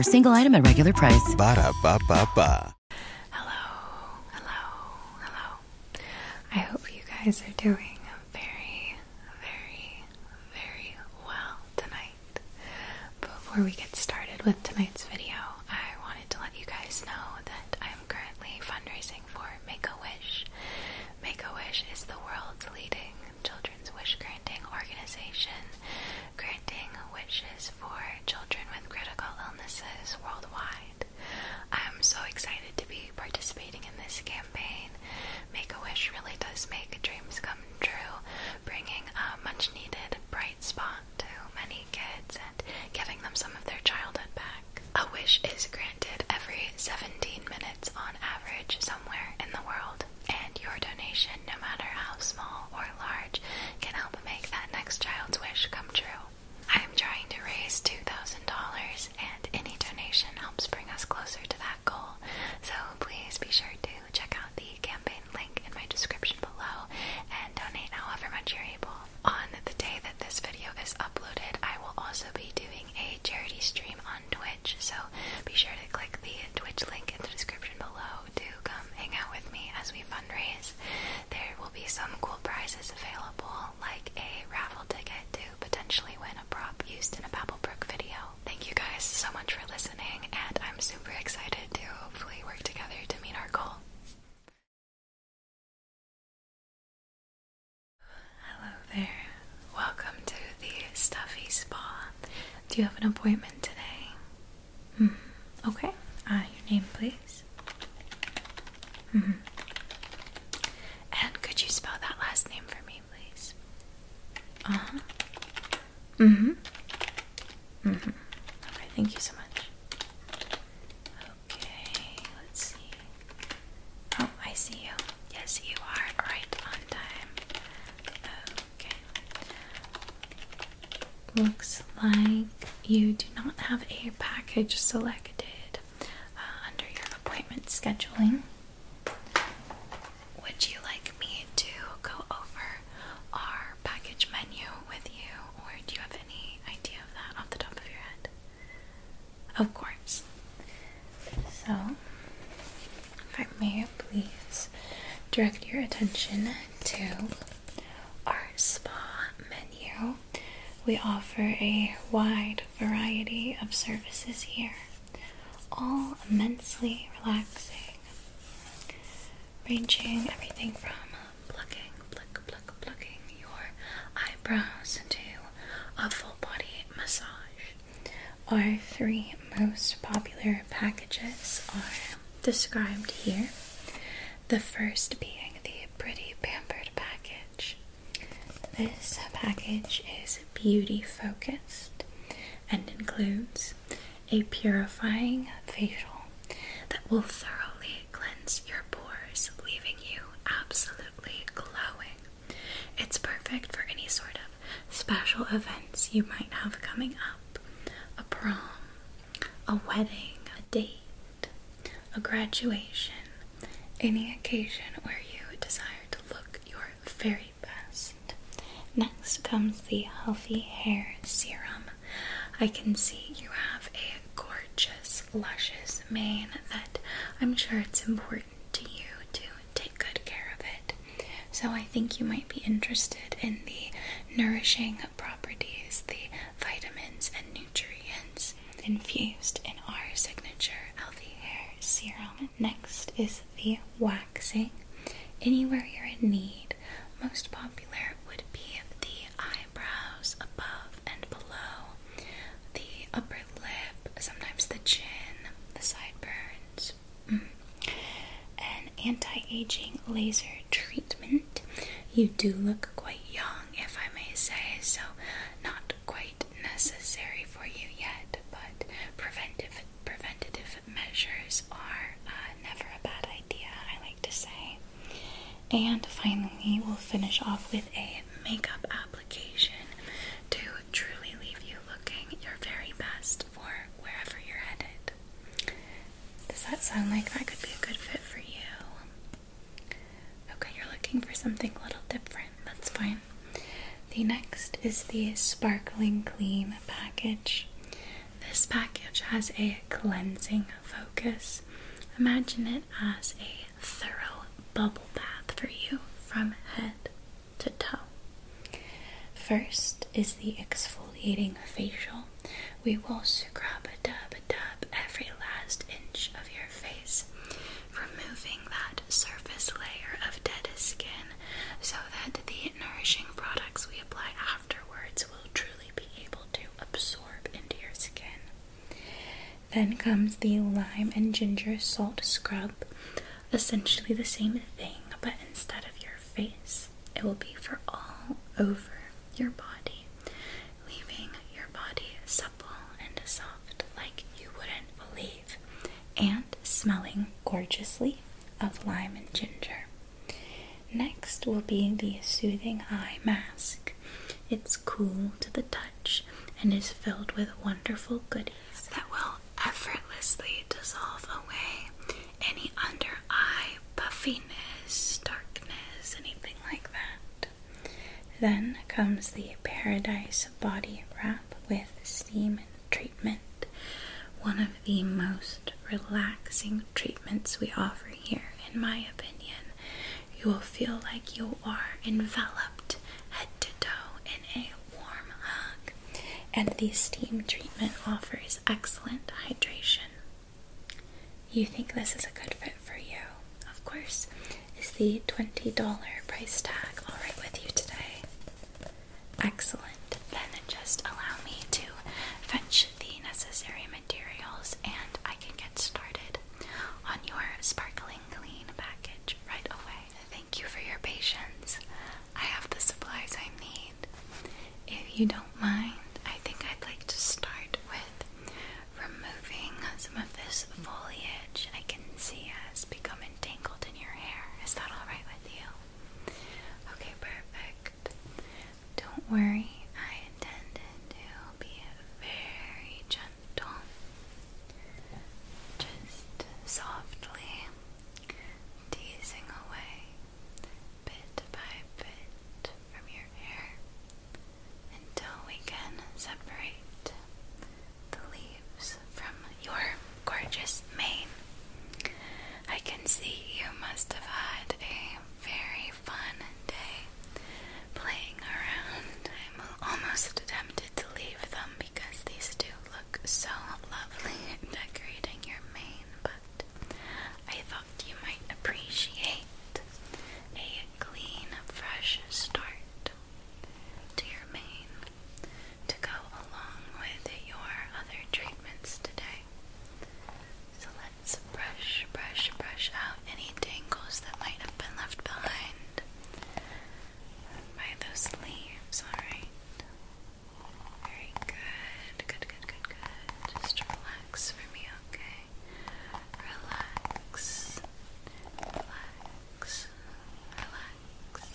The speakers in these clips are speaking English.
offer, single item at regular price. Ba da ba ba Hello, hello, hello. I hope you guys are doing very, very, very well tonight. Before we get started with tonight's video, I wanted to let you guys know that I'm currently fundraising for Make a Wish. Make a Wish is the world's leading children's wish granting organization, granting wishes for children with critical illnesses worldwide. I'm so excited to be participating in this campaign. Make a Wish really does make dreams come true, bringing a much needed bright spot to many kids and giving them some of their childhood back. A wish is granted every 17 minutes on average somewhere in the world, and your donation, no matter how small or large, can help make that next child's wish come true. I am trying to raise $2,000, and any donation helps bring us closer to that goal. So please be sure to check out the campaign link in my description below and donate however much you're able. On the day that this video is uploaded, I will also be doing a charity stream on Twitch, so be sure to click the Twitch link in the description below to come hang out with me as we fundraise. There will be some cool prizes available, like a raffle ticket to potentially win a prop used in a Babblebrook video. Thank you guys so much for listening, and I'm super excited to hopefully work together to meet our goal. Hello there. Welcome to the Stuffy Spa. Do you have an appointment today? Mm-hmm. Okay. Uh, your name, please. Mm -hmm. And could you spell that last name for me, please? Uh huh. Mm hmm. Mm hmm. Okay, thank you so much. Okay, let's see. Oh, I see you. Yes, you are right on time. Looks like you do not have a package selected uh, under your appointment scheduling. Would you like me to go over our package menu with you, or do you have any idea of that off the top of your head? Of course. So, if I may please direct your attention to our spa menu. We offer a wide variety of services here, all immensely relaxing, ranging everything from plucking, pluck, pluck, plucking your eyebrows to a full body massage. Our three most popular packages are described here. The first being the Pretty Pampered package. This package is beauty focused and includes a purifying facial that will thoroughly cleanse your pores, leaving you absolutely glowing. It's perfect for any sort of special events you might have coming up a prom, a wedding, a date, a graduation, any occasion where you desire to look your very best. Next comes the Healthy Hair Serum. I can see you have a gorgeous, luscious mane that I'm sure it's important to you to take good care of it. So I think you might be interested in the nourishing properties, the vitamins and nutrients infused in our signature healthy hair serum. Next is the waxing. Anywhere you're in need, most popular would be the eyebrows above and below, the upper lip, sometimes the chin, the sideburns. An anti aging laser treatment. You do look quite young, if I may say, so not quite necessary for you yet, but preventive preventative measures are uh, never a bad idea, I like to say. And finally, we'll finish off with a makeup application to truly leave you looking your very best for wherever you're headed. Does that sound like that could be a good fit for you? Okay, you're looking for something a little different. That's fine. The next is the Sparkling Clean package. This package has a cleansing focus. Imagine it as a thorough bubble bath for you from head to toe. First is the exfoliating facial. We will scrub a dub a dub every last inch of your face, removing that surface layer of dead skin so that the nourishing products we apply afterwards will truly be able to absorb into your skin. Then comes the lime and ginger salt scrub, essentially the same thing, but instead of your face, it will be for all over your body, leaving your body supple and soft like you wouldn't believe, and smelling gorgeously of lime and ginger. Next will be the Soothing Eye Mask. It's cool to the touch and is filled with wonderful goodies that will effortlessly dissolve away any under eye puffiness, darkness, anything like that. Then comes the Paradise Body Wrap with Steam Treatment, one of the most relaxing treatments we offer here, in my opinion. You will feel like you are enveloped head to toe in a warm hug, and the steam treatment offers excellent hydration. You think this is a good fit for you, of course. Is the $20 price tag alright with you today? Excellent. Then just allow me to fetch the necessary materials and I can get started on your sparkling clean package right away. Thank you for your patience. I have the supplies I need if you don't mind, I think I'd like to start with removing some of this foliage I can see has become entangled in your hair. Is that alright with you? Okay, perfect. Don't worry, I intended to be very gentle. Just softly teasing away bit by bit from your hair until we can separate the leaves from your gorgeous mane. I can see you must have had a very fun day playing around. I'm almost tempted to leave them because these do look so lovely decorating your mane, but I thought you might appreciate a clean, fresh start to your mane to go along with your other treatments today. So let's brush, brush, brush out any tangles that might have been left behind by those leaves, alright? Very good, good, good, good, good. Just relax relax for me, okay? Relax, relax, relax,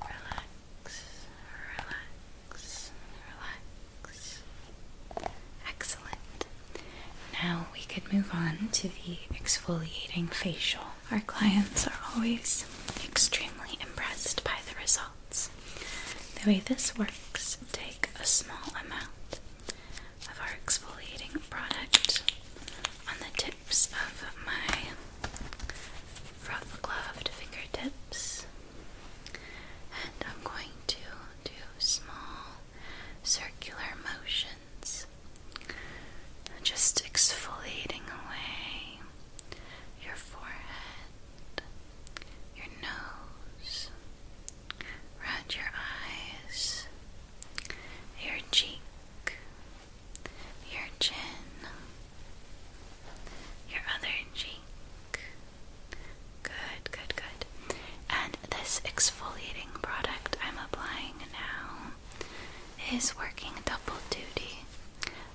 relax, relax, relax. Excellent. Now we could move on to the exfoliating facial. Our clients are always extremely impressed by the result. The way this works, take a small amount of our exfoliating product on the tips of my rough-gloved fingertips, and I'm going to do small circular motions, just exfoliating away your forehead your nose, around your eyes, your cheek, your chin, your other cheek. Good, good, good. And this exfoliating product I'm applying now is working double duty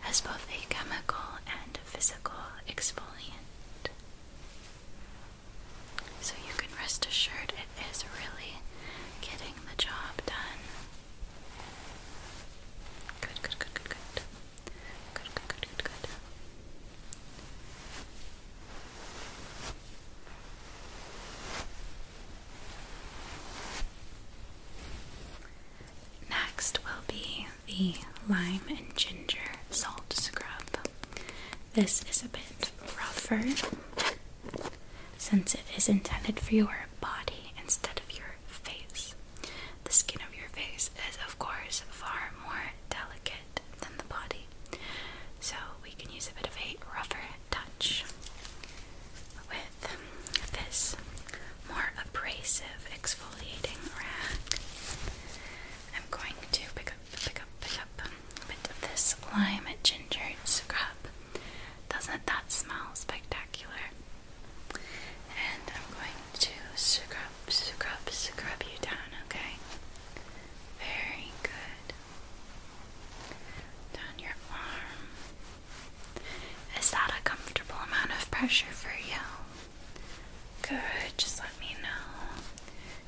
as both a chemical and physical exfoliant. So you can rest assured it is really getting the job done. Good, good, good, good, good. Good, good, good, good, Next will be the lime and ginger salt scrub. This is a bit rougher since it is intended for your body instead of your face. The skin of your face is, of course, far more delicate than the body, so we can use a bit of a rougher touch with this more abrasive exfoliating rag. I'm going to pick up, pick up, pick up a bit of this lime ginger scrub. Doesn't that smell spectacular? And I'm going to scrub, scrub, scrub you down, okay? Very good. Down your arm. Is that a comfortable amount of pressure for you? Good, just let me know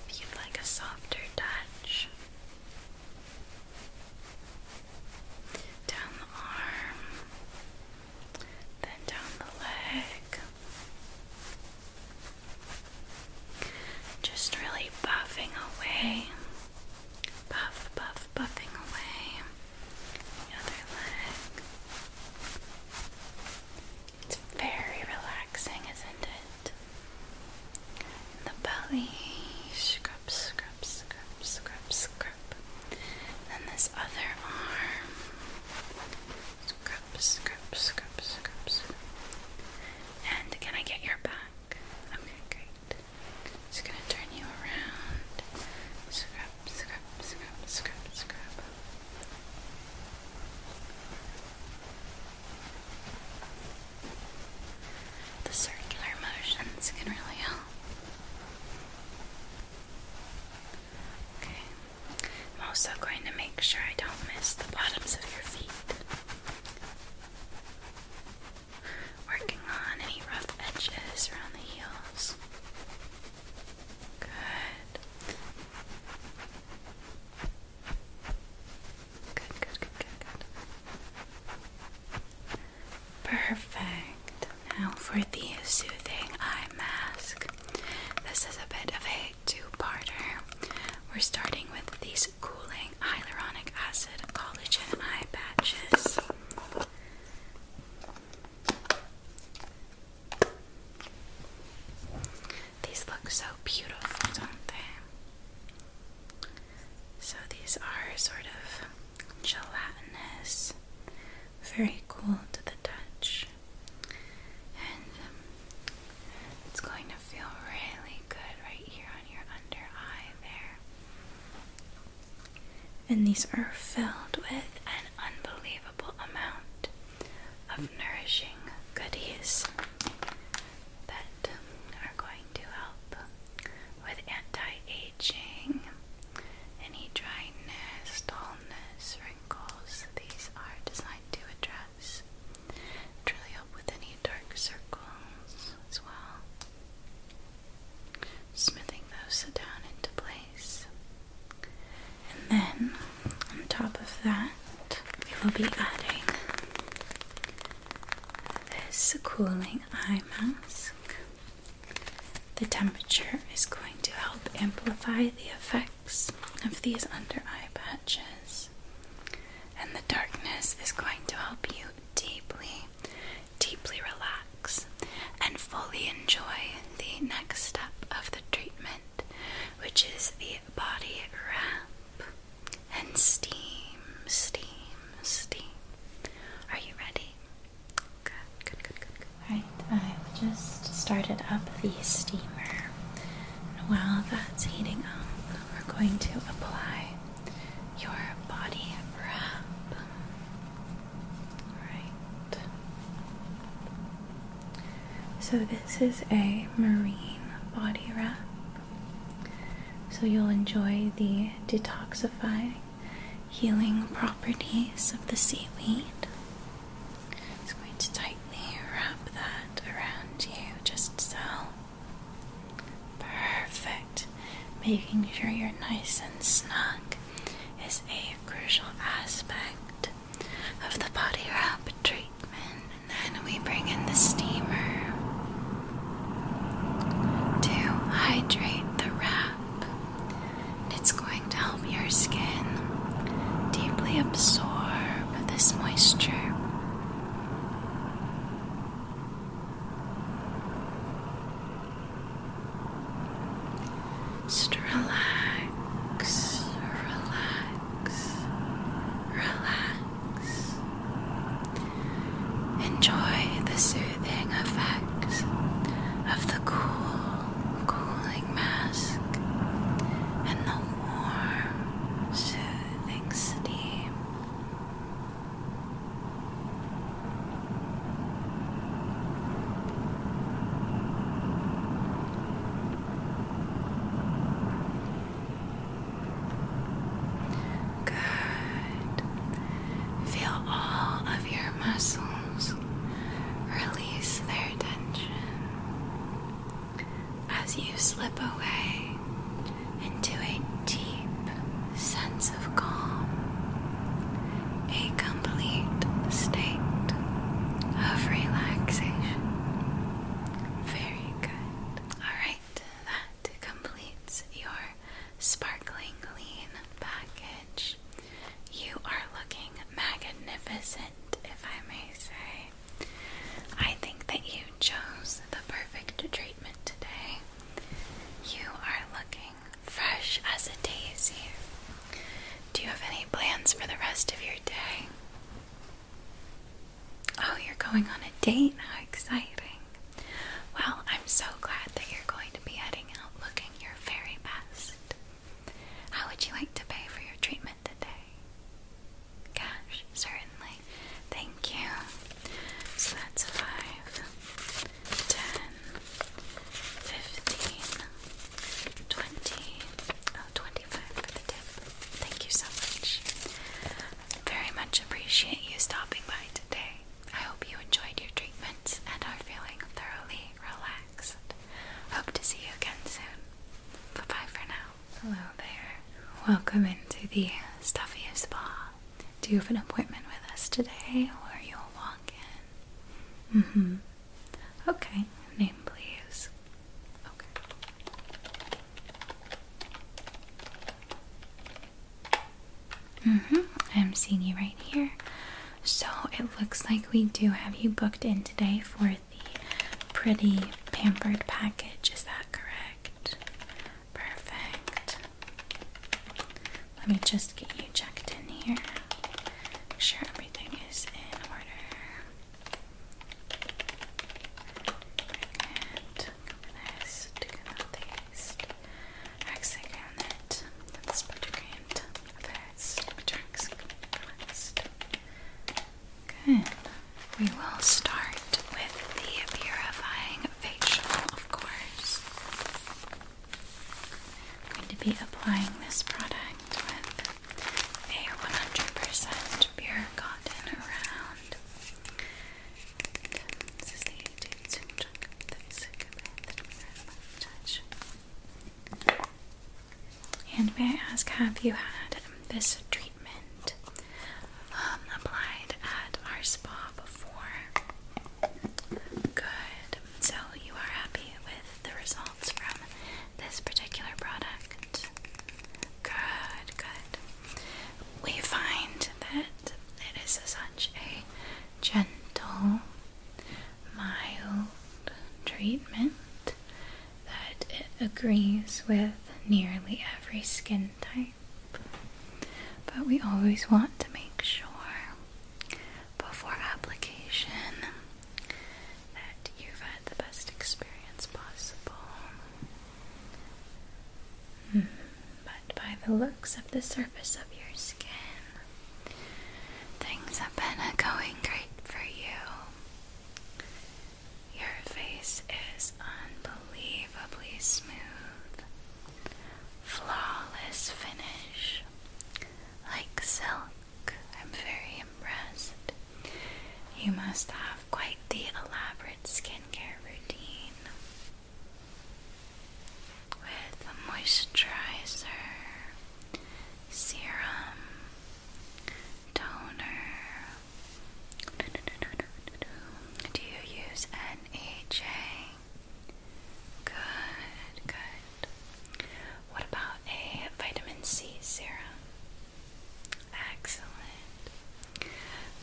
if you'd like a softer touch. Down the arm, then down the leg. Just really buffing away. Buff, buff, buffing away. other leg. It's very relaxing, isn't it? In the belly, scrub, scrub, scrub, scrub, scrub. Then this other arm, scrub, scrub, scrub, scrub, scrub. And can I get your back? Okay, great. Just gonna turn you around. Scrub, scrub, scrub, scrub, scrub. The circular motions can really help. Okay, I'm also going to make sure I don't miss the bottoms of your feet. Working on any rough edges around the heels. Good. Good, good, good, good, Perfect. Now for the soothing eye mask. This is a bit of a two-parter. We're starting with these cooling hyaluronic acid collagen eye patches. These look so beautiful, don't they? So these are sort of gelatinous, very cool to the touch, and um, it's going to feel really good right here on your under eye there. And these are filled with an unbelievable amount of nourishing goodies that um, are going to help with anti-aging, any dryness, dullness, wrinkles. These are designed to address and help with any dark circles as well, smoothing those down into place. And then on top of that, we will be adding this cooling eye mask. The temperature is going to help amplify the effects of these under eye patches, and the darkness is going to help you deeply, deeply relax and fully enjoy the next step of the treatment, which is the body wrap and steam, steam, steam. Are you ready? Good, good, good, good, good. Alright, i just started up the steamer. And while that's heating up, we're going to apply your body wrap. Alright. So, this is a marine body wrap. So, you'll enjoy the detoxifying, healing properties of the seaweed. It's going to tightly wrap that around you just so. Perfect. Making sure you're nice and snug is a crucial aspect of the body wrap treatment. And then we bring in the steamer to hydrate the wrap. It's going to help your skin deeply absorb this moisture. relax relax, relax, relax. Enjoy the soothing effects of the cool, cooling mask and the warm, soothing steam. Good. Feel all of your muscles release their tension as you slip away into a deep sense of calm, a complete state of relaxation. Very good. Alright, that completes your sparkling lean package. You are looking magnificent, if I may say. I think that you chose the perfect treatment today. You are looking fresh as a daisy. Do you have any plans for the rest of your day? Oh, you're going on a date? How exciting! Well, I'm so glad that you're going to be heading out looking your very best. How would you like to pay for your treatment today? Cash, certainly. Thank you. So that's five, ten, fifteen, twenty. 25 for the tip. Thank you so much. Very much appreciate you stopping by today. I hope you enjoyed your treatment and are feeling thoroughly relaxed. Hope to see you again soon. Bye bye for now. Hello there. Welcome into the Stuffy Spa. Do you have an appointment with us today or you'll walk in? Mm hmm. Okay. Name, please. Okay. Mm-hmm. I'm seeing you right here. So it looks like we do have you booked in today for the pretty pampered package. Is that correct? Perfect. Let me just get you checked in here. Make sure everything is in order. And this to this. Axing on it. That's pretty great. This drinks. We will start with the purifying facial, of course. I'm going to be applying this product with a 100% pure cotton around. And this is the YouTube zoom chunk that is a good touch. And may I ask, have you had this treatment um, applied at our spa before? Good. So you are happy with the results from this particular product? Good, good. We find that it is such a gentle, mild treatment that it agrees with nearly every skin type. But we always want to make sure before application that you've had the best experience possible. Hmm. but by the looks of the surface of your skin, things have been going great for you. Your face is unbelievably smooth, flawless finish, like silk. I'm very very You must have quite the elaborate skincare routine with a moisturizer, serum, toner. Do you use N E J? Good, good. What about a vitamin C serum? Excellent.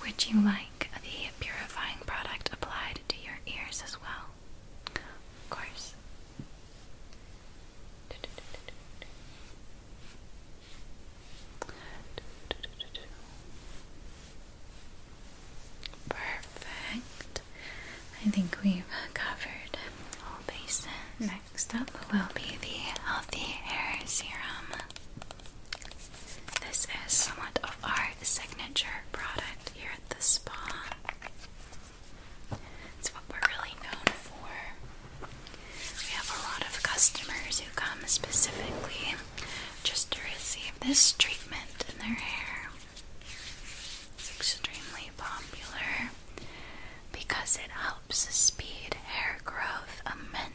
Would you like the purifying product applied to your ears as well? Of course. Perfect. I think we've covered all bases. Next up will be the Healthy Hair Serum. This is somewhat of our signature product here at the spa. It's what we're really known for. We have a lot of customers who come specifically just to receive this treatment in their hair. It's extremely popular because it helps speed hair growth immensely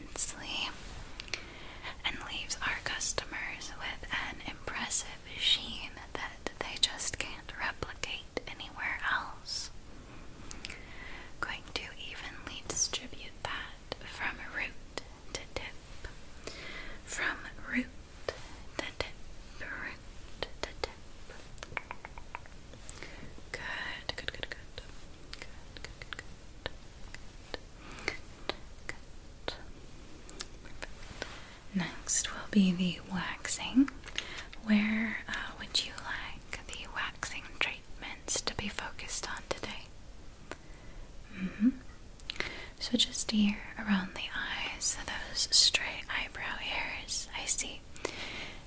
and leaves our customers with an impressive sheen that they just can't replicate anywhere else. Going to evenly distribute that from root to tip, from root to tip, root to tip. good, good, good. Good, good, good, good. Next will be the waxing. Where uh, would you like the waxing treatments to be focused on today? Mm-hmm. So just here around the eyes, those stray eyebrow hairs, I see.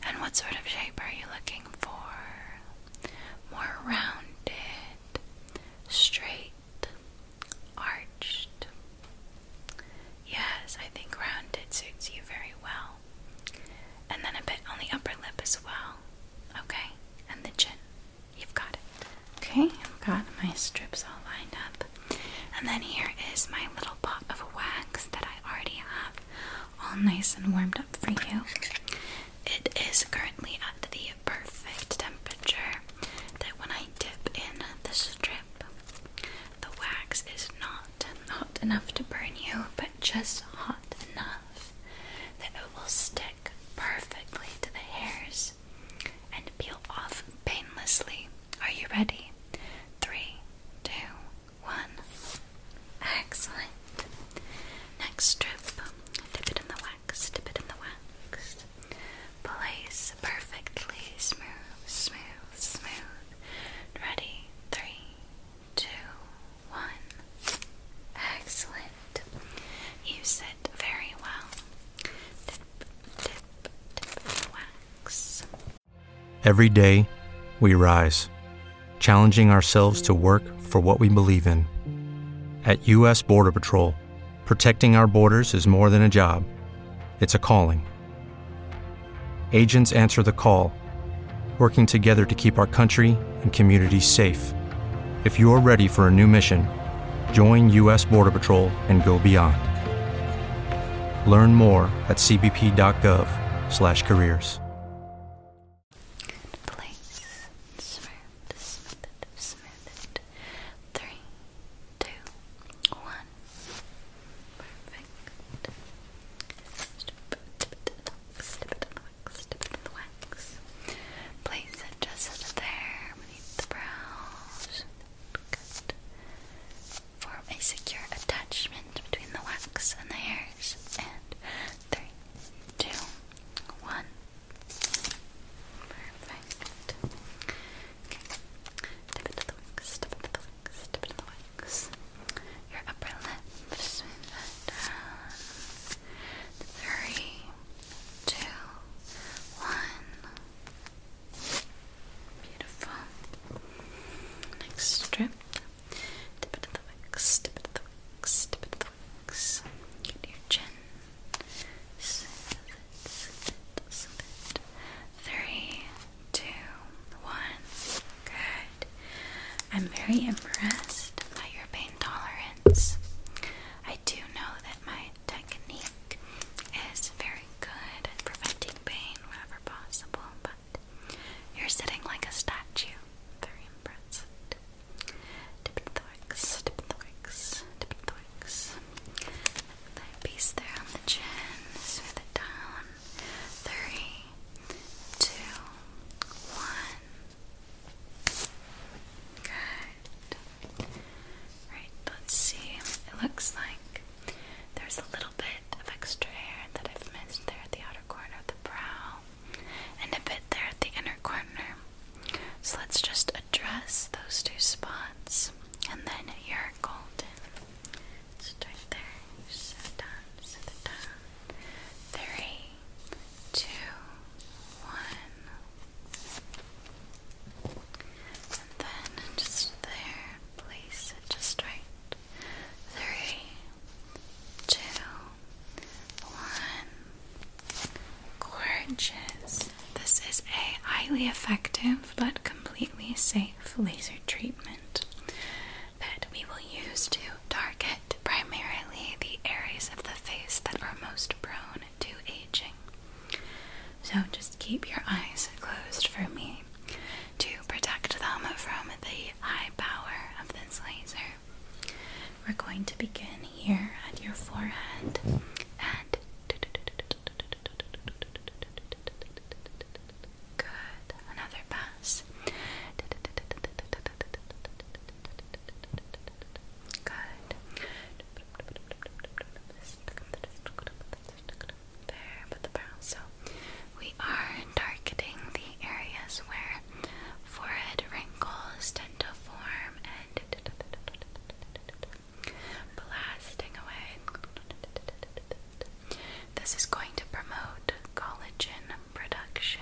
And what sort of shape are you looking for? more rounded, straight, arched. Yes, I think rounded suits you very well. And then a bit on the upper lip as well. Okay, and the chin. You've got it. Okay, I've got my strips all lined up. And then here is my little pot of wax that I already have all nice and warmed up for you. It is currently at the perfect temperature that when I dip in the strip, the wax is not hot enough to burn you, but just hot enough that it will stick perfectly to the hairs and peel off painlessly. Are you ready? Three, two, one. Excellent. Next strip, dip it in the wax, dip it in the wax. Place perfectly smooth, smooth, smooth. Ready? Three, two, one. Excellent. Use it very well. Dip, dip, dip wax. Every day we rise challenging ourselves to work for what we believe in. At U.S. Border Patrol, protecting our borders is more than a job, it's a calling. Agents answer the call, working together to keep our country and communities safe. If you are ready for a new mission, join U.S. Border Patrol and go beyond. Learn more at cbp.gov/careers place, smooth, smooth it, smooth it. Three, two, one. Perfect. Stip it in the wax, stip it in the wax, stip it in the wax. Place it there beneath the brows. Good. Form a secure attachment between the wax and the hairs. And three, two, one. Perfect. Okay. Tip into the wings, tip into the wings, tip into the wings. Your upper lip, Three, two, one. Beautiful. Next strip. Tip it the wicks, tip it the wicks, tip it to the relax your chin. Sit, sit, sit. Three, two, one. Good. I'm very impressed by your pain tolerance. I do know that my technique is very good at preventing pain wherever possible, but you're sitting like a statue. Very impressed. Tip of the works, tip of the works, tip of the works. That piece there on the chin. Smooth it down. Three, two, one. Good. Right, let's see. It looks like there's a little bit of extra hair that I've missed there at the outer corner of the brow and a bit there at the inner corner. So let's just address those two spots, and then you're golden. Start there, so down, so down. Three, two, one. And then just there, place it just right. Three, two, one. Gorgeous. This is a highly effective but completely safe laser treatment that we will use to target primarily the areas of the face that are most prone to aging. So just keep your eyes closed for me to protect them from the high power of this laser. We're going to begin here at your forehead and good. Another pass. Good. There, but the brow. So we are targeting the areas where forehead wrinkles blasting away. This is going to promote collagen production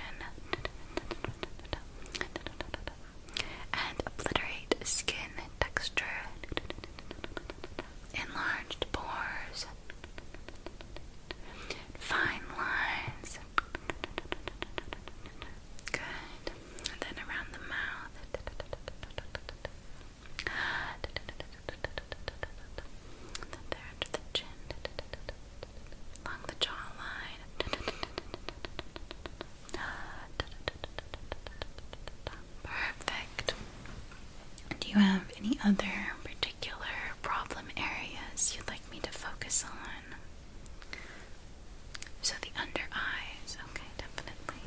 and obliterate skin texture, enlarged pores, fine lines, Good. then around the mouth. then there under the chin. Along the jawline. Perfect. Do you have any other particular problem areas you'd like me to focus on? So the under eyes, okay, definitely.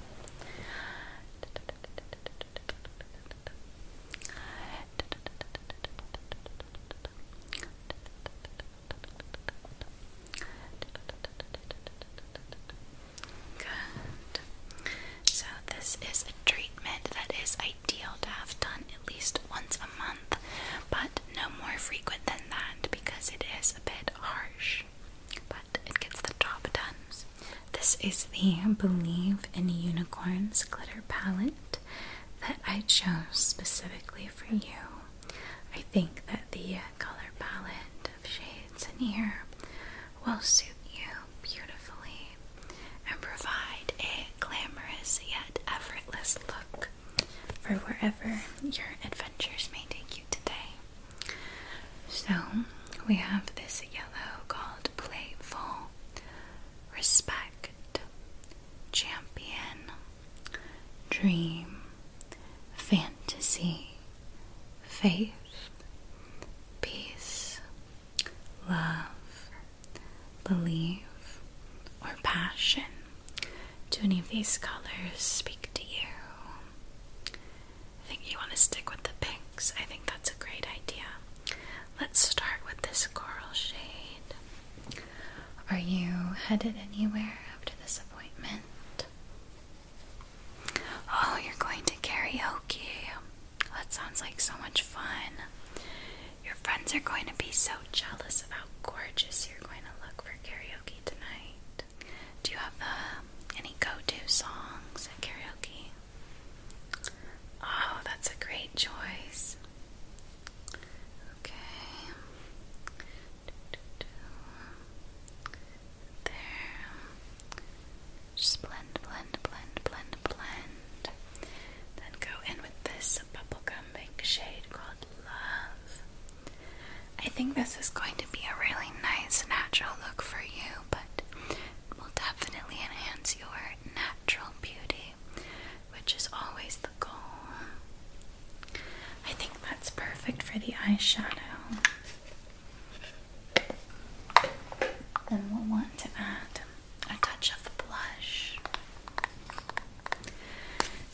Good. So this is a treatment that is ideal to have done at least once a month but no more frequent than that because it is a bit harsh, but it gets the job done. This is the Believe in Unicorns glitter palette that I chose specifically for you. I think that the color palette of shades in here will suit you beautifully and provide a glamorous yet effortless look for wherever your adventures may take you today. So, we have this yellow called Playful, Respect, Champion, Dream, Fantasy, Faith, Peace, Love, belief, or Passion. Do any of these colors speak to you? I think you want to stick with the pinks. I think that's a great idea. Let's start with this coral shade. Are you headed anywhere after this appointment? Oh, you're going to karaoke. That sounds like so much fun. Your friends are going to be so jealous of how gorgeous you're going to look for karaoke tonight. Do you have uh, any go-to songs at karaoke? Oh, that's a great choice. Okay. There. Just blend, blend, blend, blend, blend. Then go in with this bubblegum big shade called Love. I think this is going to be a really nice natural look for you, but will definitely enhance your natural beauty, which is always the goal. I think that's perfect for the eyeshadow. Then we'll want to add a touch of blush.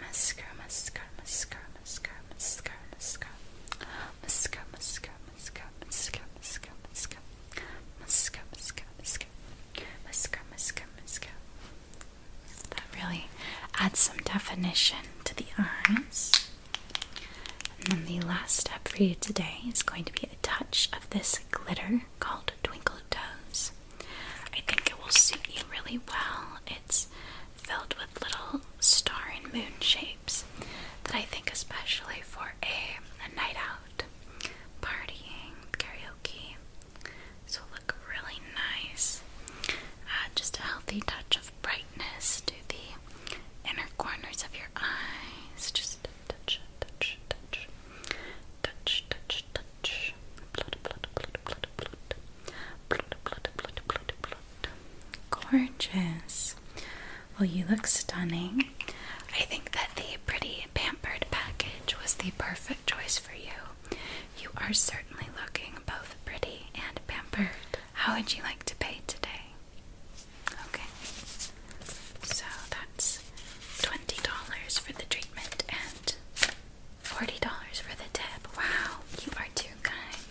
Mascara, mascara, mascara, mascara, mascara, mascara. Mascara, mascara, mascara, mascara, mascara, mascara. Mascara, mascara, mascara. Mascara, mascara, mascara. That really adds some definition to the eyes. And then the last step for you today is going to be a touch of this glitter called Twinkle Toes. I think it will suit you really well. It's filled with little star and moon shapes that I think, especially for a, night out, partying, karaoke, this will look really nice. Uh, just a healthy touch of brightness to the inner corners of your eyes. Just touch, touch, touch, touch, touch, touch, touch. Blood, Gorgeous. Well, you look stunning. I think that the pretty pampered package was the perfect choice for you. You are certainly looking both pretty and pampered. How would you like to pay today? Okay. So that's $20 for the treatment and Forty dollars for the tip. Wow, you are too kind.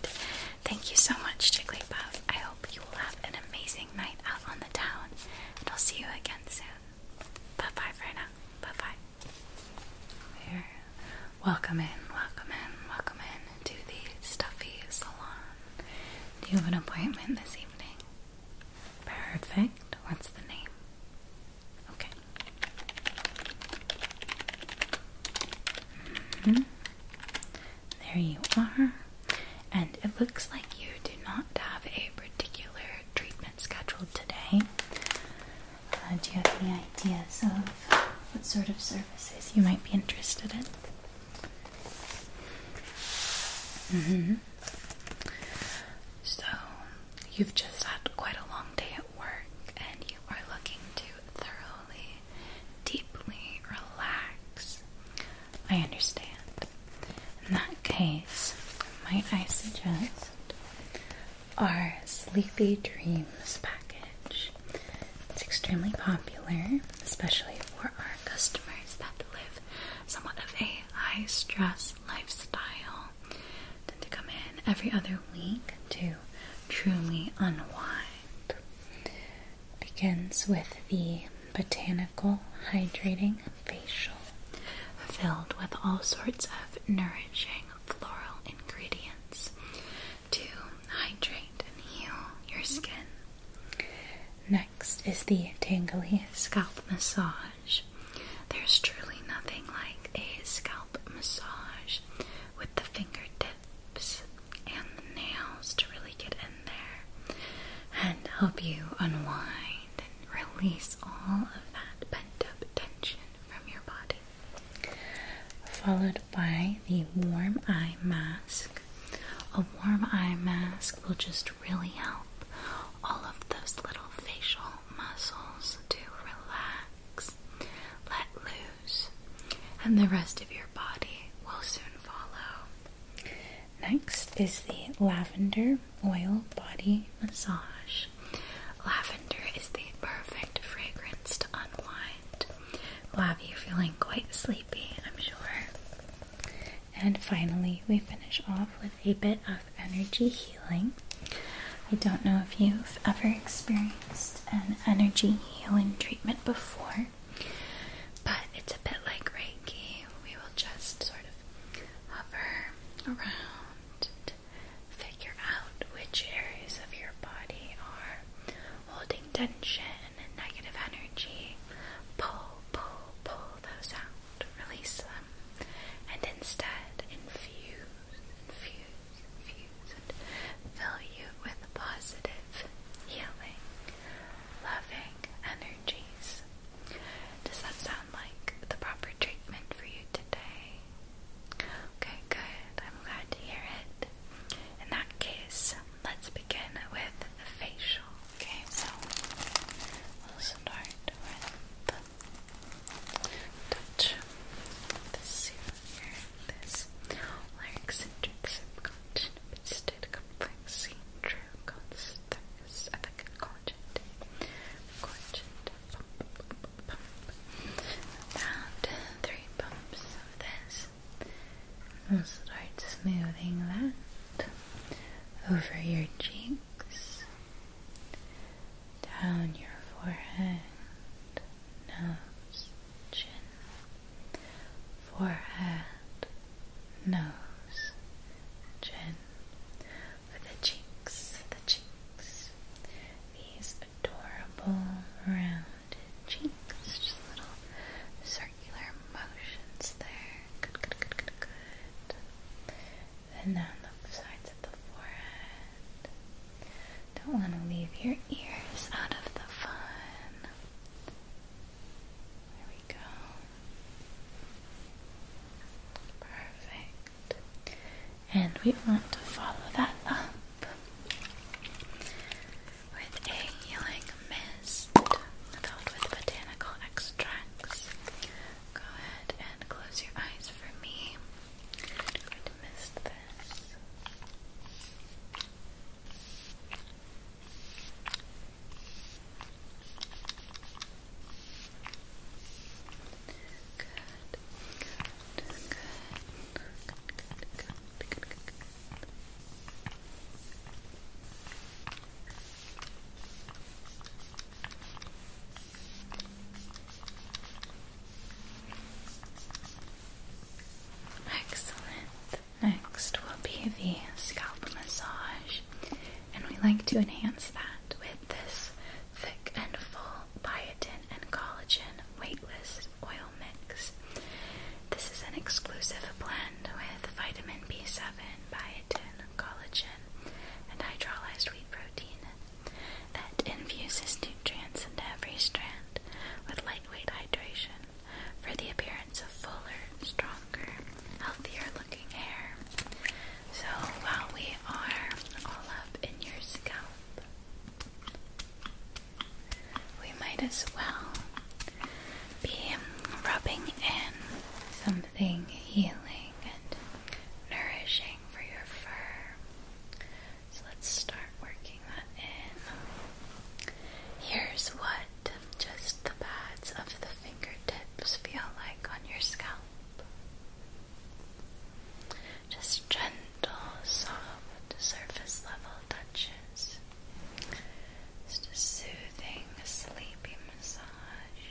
Thank you so much, Jigglypuff. I hope you will have an amazing night out on the town, and I'll see you again soon. Bye bye for now. Bye bye. welcome in, welcome in, welcome in to the stuffy salon. Do you have an appointment this evening? Perfect. What's the name? Okay. Mm-hmm. There you are. And it looks like you do not have a particular treatment scheduled today. Uh, do you have any ideas of what sort of services you might be interested in? Mm hmm So you've just had quite a long day at work and you are looking to thoroughly, deeply relax. I understand. In that case, might I suggest our Sleepy Dreams package? It's extremely popular, especially for our customers that live somewhat of a high stress lifestyle tend to come in every other week to truly unwind. Begins with the botanical hydrating facial filled with all sorts of nourishing floral ingredients to hydrate and heal your skin. Next is the tingly scalp massage there's truly nothing like a scalp massage with the fingertips and the nails to really get in there and help you unwind and release all of that pent up tension from your body. Followed by the warm eye mask. A warm eye mask will just really help all of those little facial muscles to relax, let loose, and the rest of your body will soon follow. Next is the lavender oil body massage. Lavender is the perfect fragrance to unwind. We'll have you feeling quite sleepy, I'm sure. And finally, we finish off with a bit of energy healing. I don't know if you've ever experienced an energy healing treatment before, but it's a bit like Reiki. We will just sort of hover around and figure out which areas of your body are holding tension and negative energy. Pull, pull, pull those out, release them, and instead infuse infuse, infuse, and fill you with positive, healing, loving energies. Does that sound like the proper treatment for you today? Okay, good. I'm glad to hear it. In that case, let's begin with the facial. Okay, so we'll start with the touch this here, this larynx and tricks and content, pisted complexity, true pump, pump, pump. Around three pumps of this. will start smoothing that over your cheeks down your forehead, nose, chin, forehead, nose, chin, for the cheeks, the cheeks, these adorable rounded cheeks, just little circular motions there. Good, good, good, good, good then the sides of the forehead. Don't want to leave your ears out of the fun. There we go. Perfect. And we want to follow that up with a healing mist filled with botanical extracts. Go ahead and close your eyes for me missed this. Good. Good. Good. Good. Good. Good. Good. Good. Excellent. Next will be the scalp massage, and we like to enhance that with this thick and full biotin and collagen weightless oil mix. This is an exclusive blend with vitamin B7, biotin, collagen, and hydrolyzed wheat protein that infuses nutrients into every strand with lightweight hydration for the appearance of fuller, stronger, healthier looking hair. So while we are all up in your scalp, we might as well be rubbing in something healing and nourishing for your fur. So let's start working that in. Here's what just the pads of the fingertips feel like on your scalp. Just gentle, soft, surface level touches. Just a soothing, sleepy massage.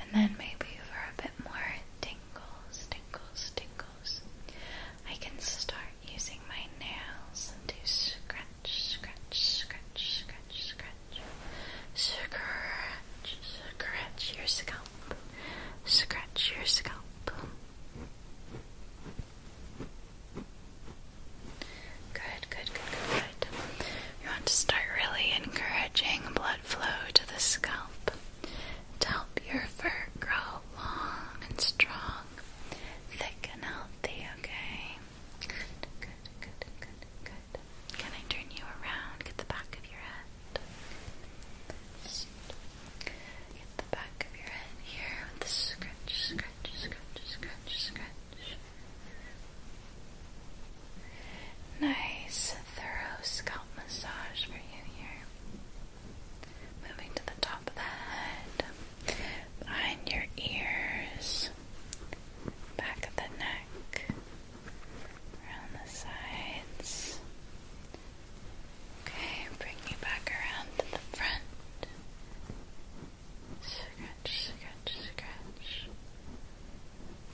And then maybe for a bit more tingles, tingles, tingles. I can start using my nails to scratch, scratch, scratch, scratch, scratch. Scratch, scratch your scalp. Scratch your scalp. Good, good, good, good, good. You want to start really encouraging blood flow to the scalp to help your fur grow long and strong, thick and healthy, okay? Good, good, good, good, good. Can I turn you around? Get the back of your head. Get the back of your head here with the scratch, scratch, scratch, scratch, scratch. Nice a thorough scalp massage for you here. Moving to the top of the head, behind your ears, back of the neck, around the sides. Okay, bring you back around to the front. Scratch, scratch, scratch.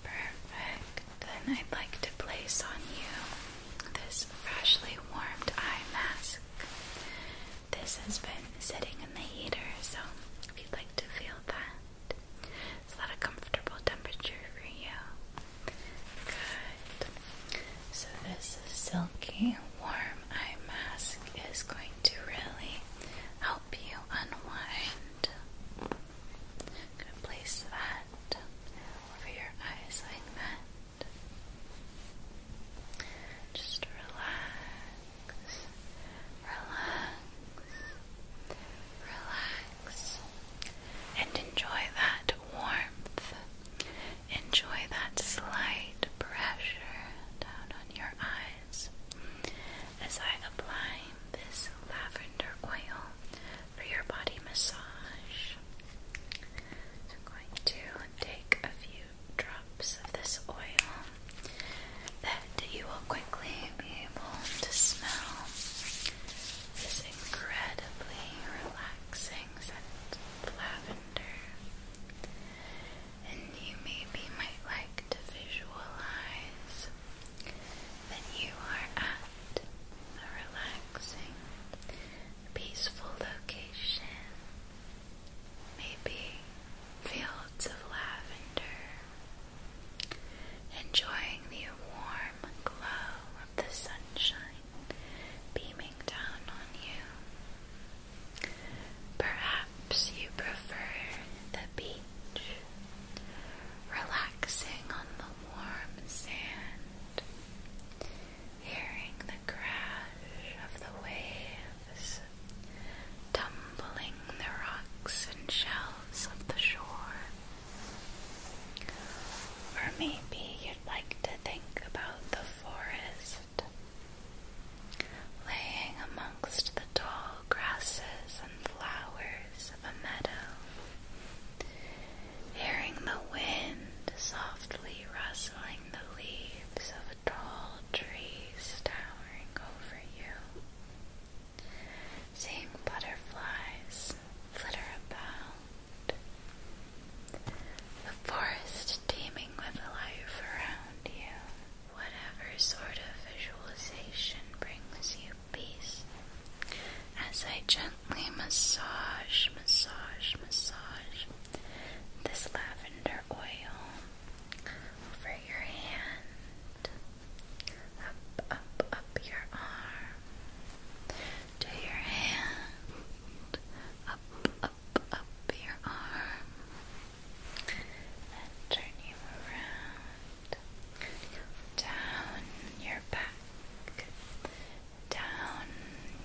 Perfect. Then I'd like to place on you this freshly warmed eye mask. This has been sitting in the heater, so if you'd like to feel that, it's not a comfortable temperature for you. Good. So, this silky warm eye mask is going to really help you unwind. going to place that over your eyes like that. Just relax, relax, relax, and enjoy that warmth. Enjoy that slight pressure down on your eyes as I apply this lavender oil for your body massage. I'm going to take a few drops of this oil that you will quickly be able to smell this incredibly relaxing scent of lavender. And you maybe might like to visualize that you are at a relaxing peaceful location, maybe fields of lavender, enjoying the warm glow of the sunshine beaming down on you. Perhaps you prefer the beach, relaxing on the warm sand hearing the crash of the waves, tumbling the rocks and shells of the shore. Or maybe you'd like to think about the forest, laying amongst the tall grasses and flowers of a meadow hearing the wind softly rustling the leaves of tall trees towering over you, seeing butterflies flutter about, the forest teeming with life around you. Whatever sort of visualization brings you peace, as I gently gently massage, massage, massage this lavender oil over your hand, up, up, up your arm, to your hand, up, up, up your arm, and turn you around, down your back down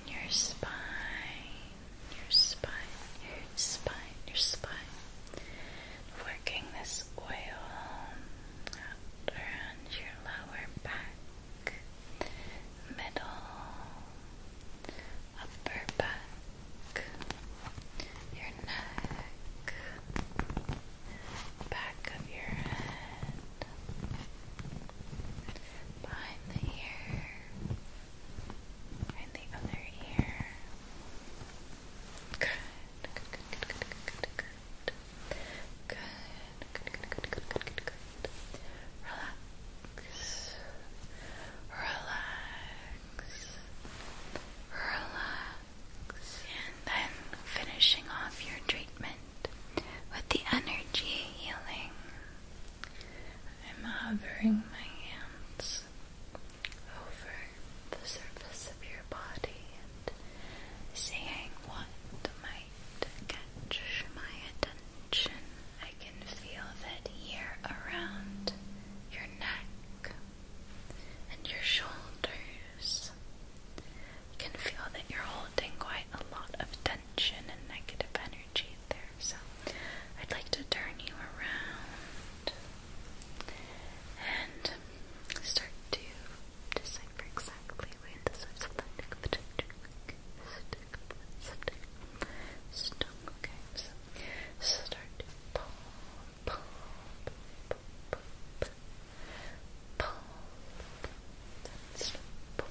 your spine, your spine, your spine, your spine. Working this oil around your lower back, middle, upper back, your neck, back of your head behind the ear, behind the other ear. Good, good, good, good, good, good, good, good. Good, good, good, good, good, good, good, Relax. Relax. Relax. And then finishing off your treatment with the energy healing. I'm hovering my hands over the surface of your body and saying what might catch my attention. I can feel that here around your neck and your shoulders can feel that you're holding quite a lot of tension and negative energy there. So I'd like to turn you around and start to decipher exactly where the source of that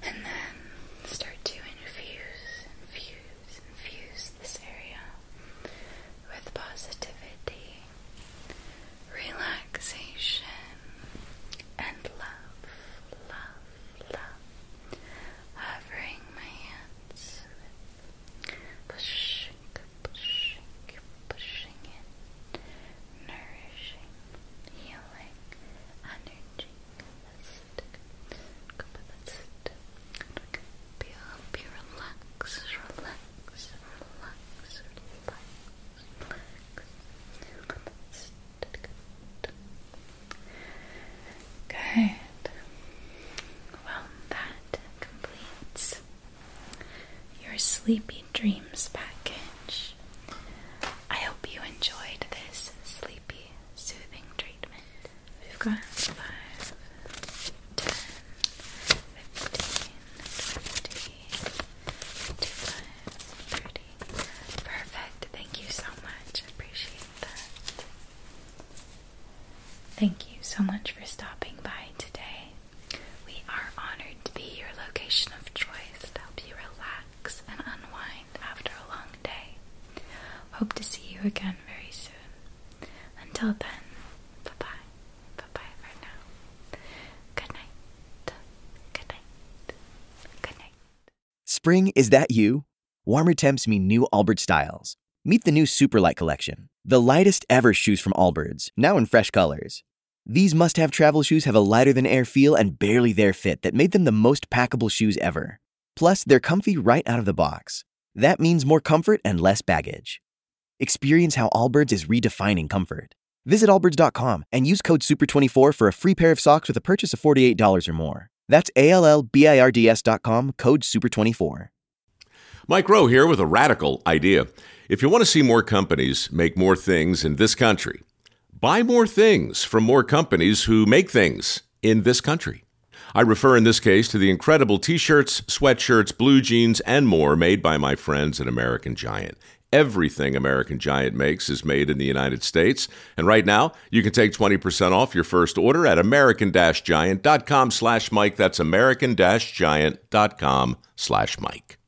And then start to infuse, infuse, infuse this area with positivity, relaxation, and love, love, love. Hovering my hands pushing in, nourishing, healing, energy. Be up, be relaxed, relax, relax, relax, relax. Good. Well, that completes your Sleepy Dreams package. I hope you enjoyed this sleepy soothing treatment. We've got 5, 10, 15, 20, 25, 30. Perfect. Thank you so much. I appreciate that. Thank you so much for stopping by today. We are honored to be your location of choice to help you relax and unwind after a long day. Hope to see you again very soon. Until then, bye bye. Bye bye for now. Good night. Good night. Good night. Spring, is that you? Warmer temps mean new Albert styles. Meet the new Superlight Collection, the lightest ever shoes from Allbirds, now in fresh colors. These must have travel shoes have a lighter than air feel and barely their fit that made them the most packable shoes ever. Plus, they're comfy right out of the box. That means more comfort and less baggage. Experience how Allbirds is redefining comfort. Visit allbirds.com and use code SUPER24 for a free pair of socks with a purchase of $48 or more. That's ALLBIRDS.com, code SUPER24. Mike Rowe here with a radical idea. If you want to see more companies make more things in this country, Buy more things from more companies who make things in this country. I refer in this case to the incredible t shirts, sweatshirts, blue jeans, and more made by my friends at American Giant. Everything American Giant makes is made in the United States. And right now, you can take 20% off your first order at american-giant.com slash Mike. That's american-giant.com slash Mike.